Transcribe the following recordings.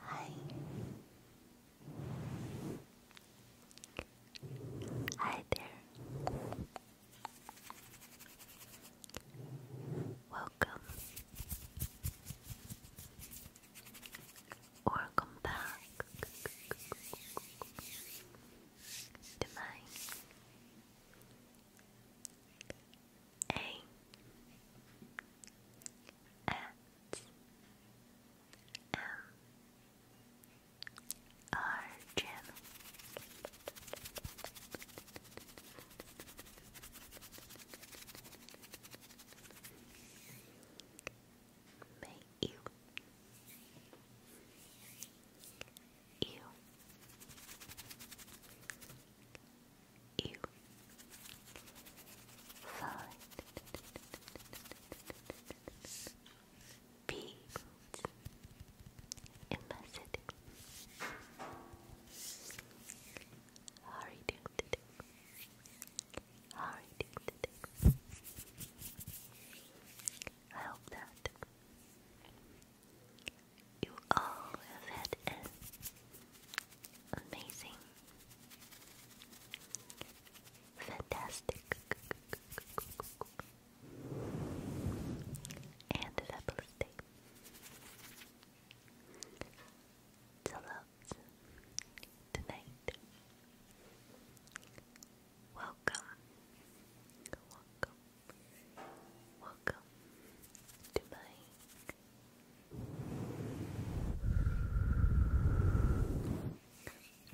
Hi. Hi there. Welcome. Welcome back to my a S M R channel. May you you. You find peace in my city. How are you today? How are you today? I hope that you all have had an amazing, fantastic, and fabulous day. Till tonight. Welcome, welcome, Welcome to my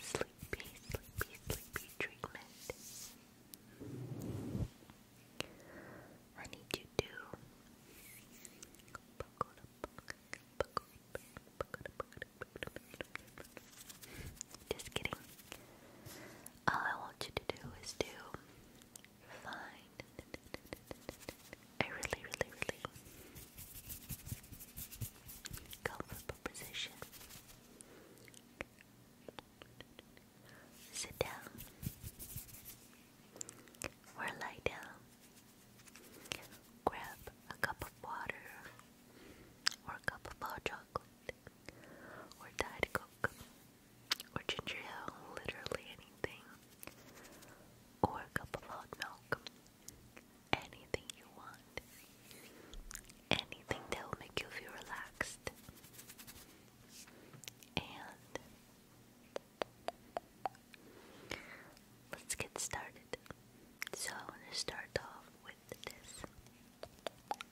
sleepy, sleepy, sleepy treatment. I need you to just kidding all I want you to do is do. find a really, really, really comfortable position. Sit down or lie down. Grab a cup of water or a cup of hot or Diet Coke, or ginger ale, literally anything, or a cup of hot milk. Anything you want. Anything that will make you feel relaxed. And let's get started. So I'm to start off with this.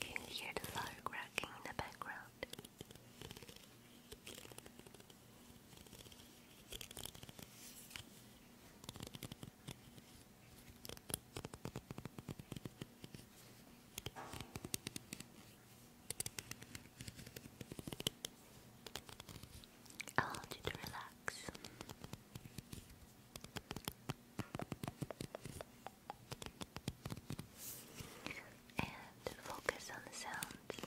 Can you hear the fire cracking in the background? Allow you to relax. And focus on the sounds.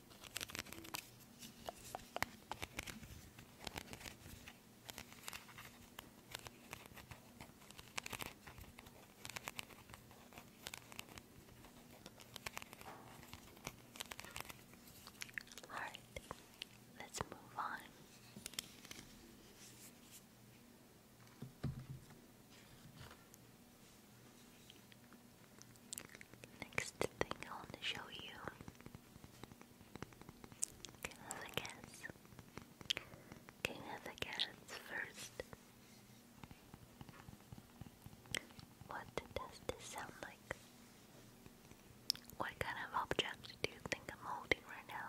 Alright, let's move on. Next thing I want to show you King of the Cats. King of first. What does this sound like? What kind of object do you think I'm holding right now?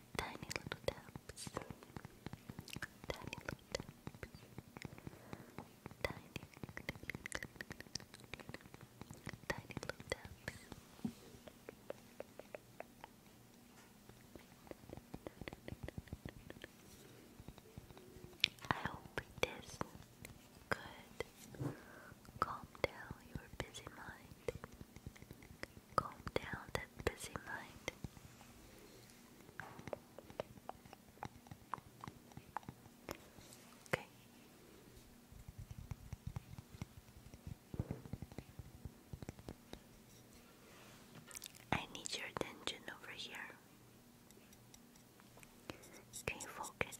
tiny little taps, tiny little taps, tiny, tiny little taps. I hope this could calm down your busy mind calm down that busy mind. Okay. I need your attention over here. Can you focus?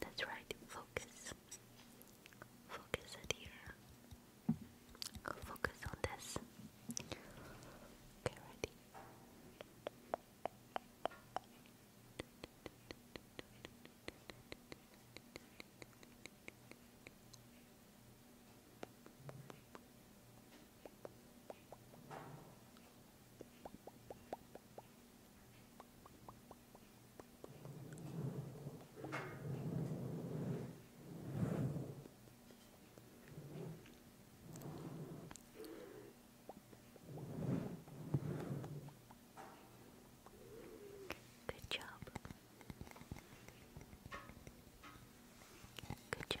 That's right, focus. Focus it here. Focus on this. Okay, ready. Good job. Good job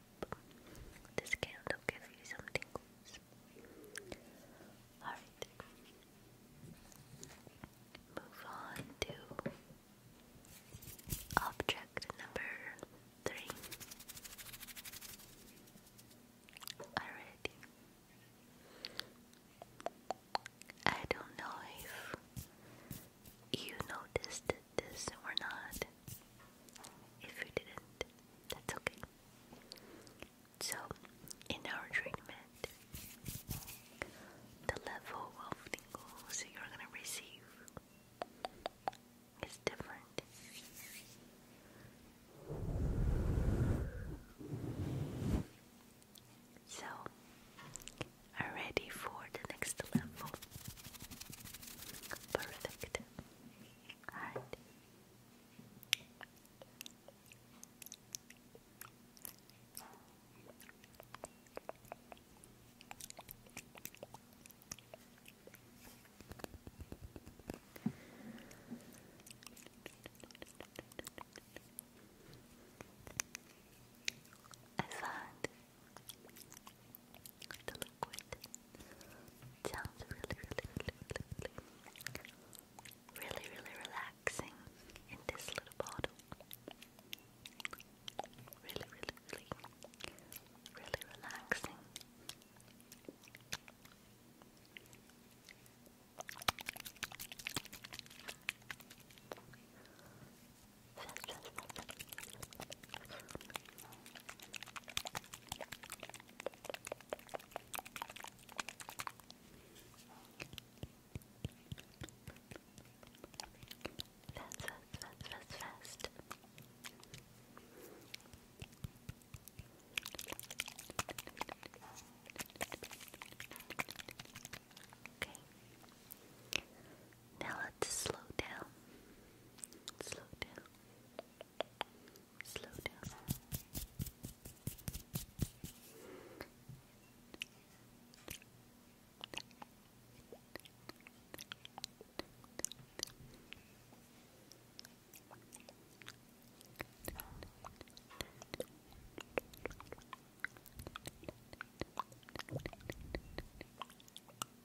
hope this candle gives you some tingles. Alright. Move on to object number three. Alrighty. I don't know if you noticed this or not. If you didn't, that's okay. So, in our treatment, the level of tingles you're gonna receive is different. So, are ready for the next level. Perfect. Alright. I found the liquid sounds really, really, really, really, really, really relaxing in this little bottle. Really, really, really, really relaxing fast, fast. Okay. Now let's slow down. Slow down. Slow down. Slow down.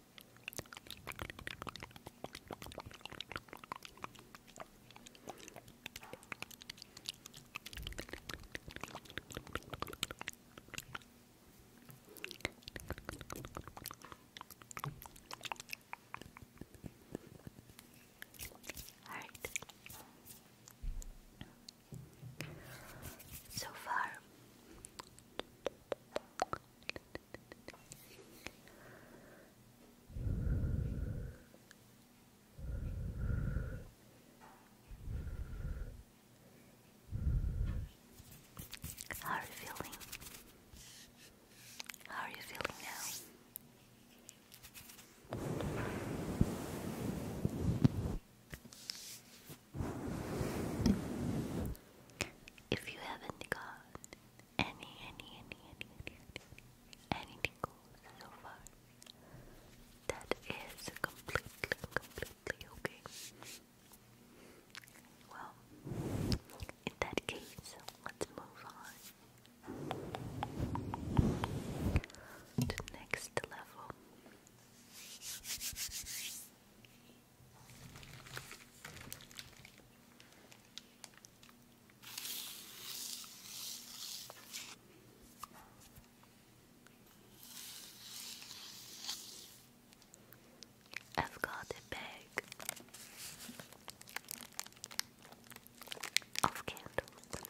All right. So far, how are you feeling? How are you feeling now? If you haven't got any, any, any, any, any, anything goes so far. That is completely, completely okay. Well, in that case, let's move on to the next level. I've got a bag of candles.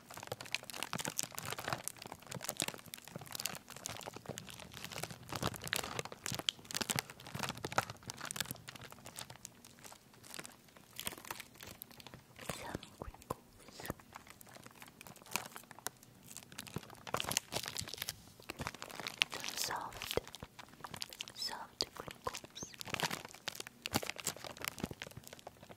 Some crinkles. soft, soft crinkles.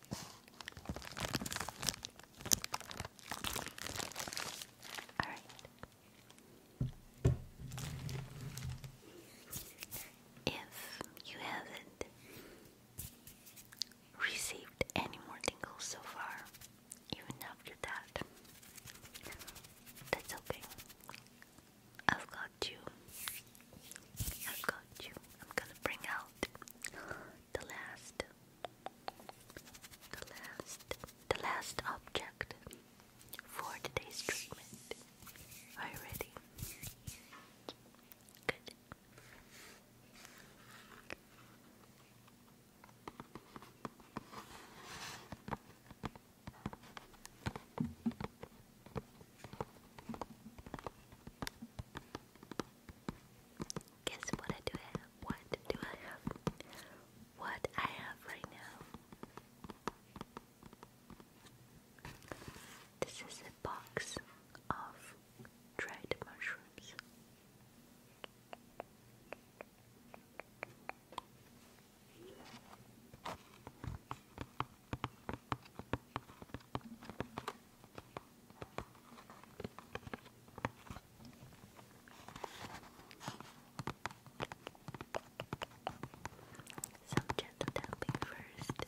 All right. If you haven't received any more tingles so far, even after that, that's okay. I've got you. I've got you. I'm gonna bring out the last, the last, the last object for today's treatment. Are you ready? Good. Guess what I do have? What do I have? What I have right now? This is a box of dried mushrooms. Some gentle tapping first. Good.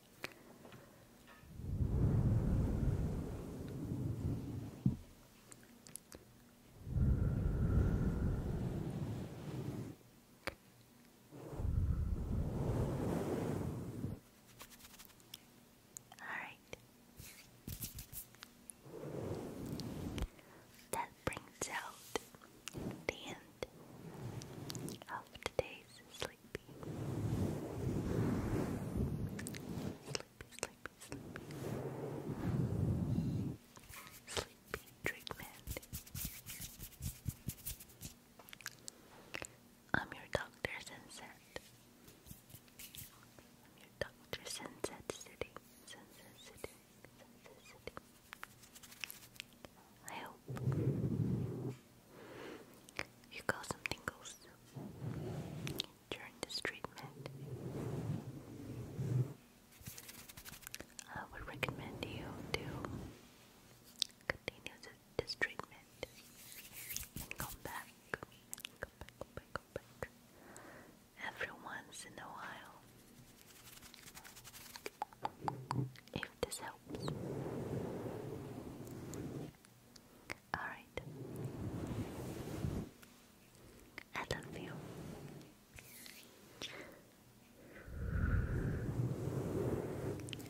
All right. That brings out the end of today's sleep sleepy. Sleepy, sleepy, sleepy. Sleepy I'm your doctor, Sunset. I'm your doctor, Sunset City. Sunset City. Sunset City. I hope you got some tingles during this treatment. I would recommend you to continue this treatment and come back, come back, come back, come back every once in a while. If this helps, Alright. I love you.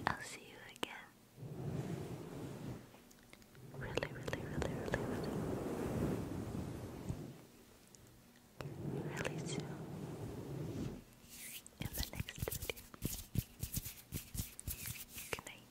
I'll see you again. Really, really, really, really, really. Really soon. In the next video. Good night.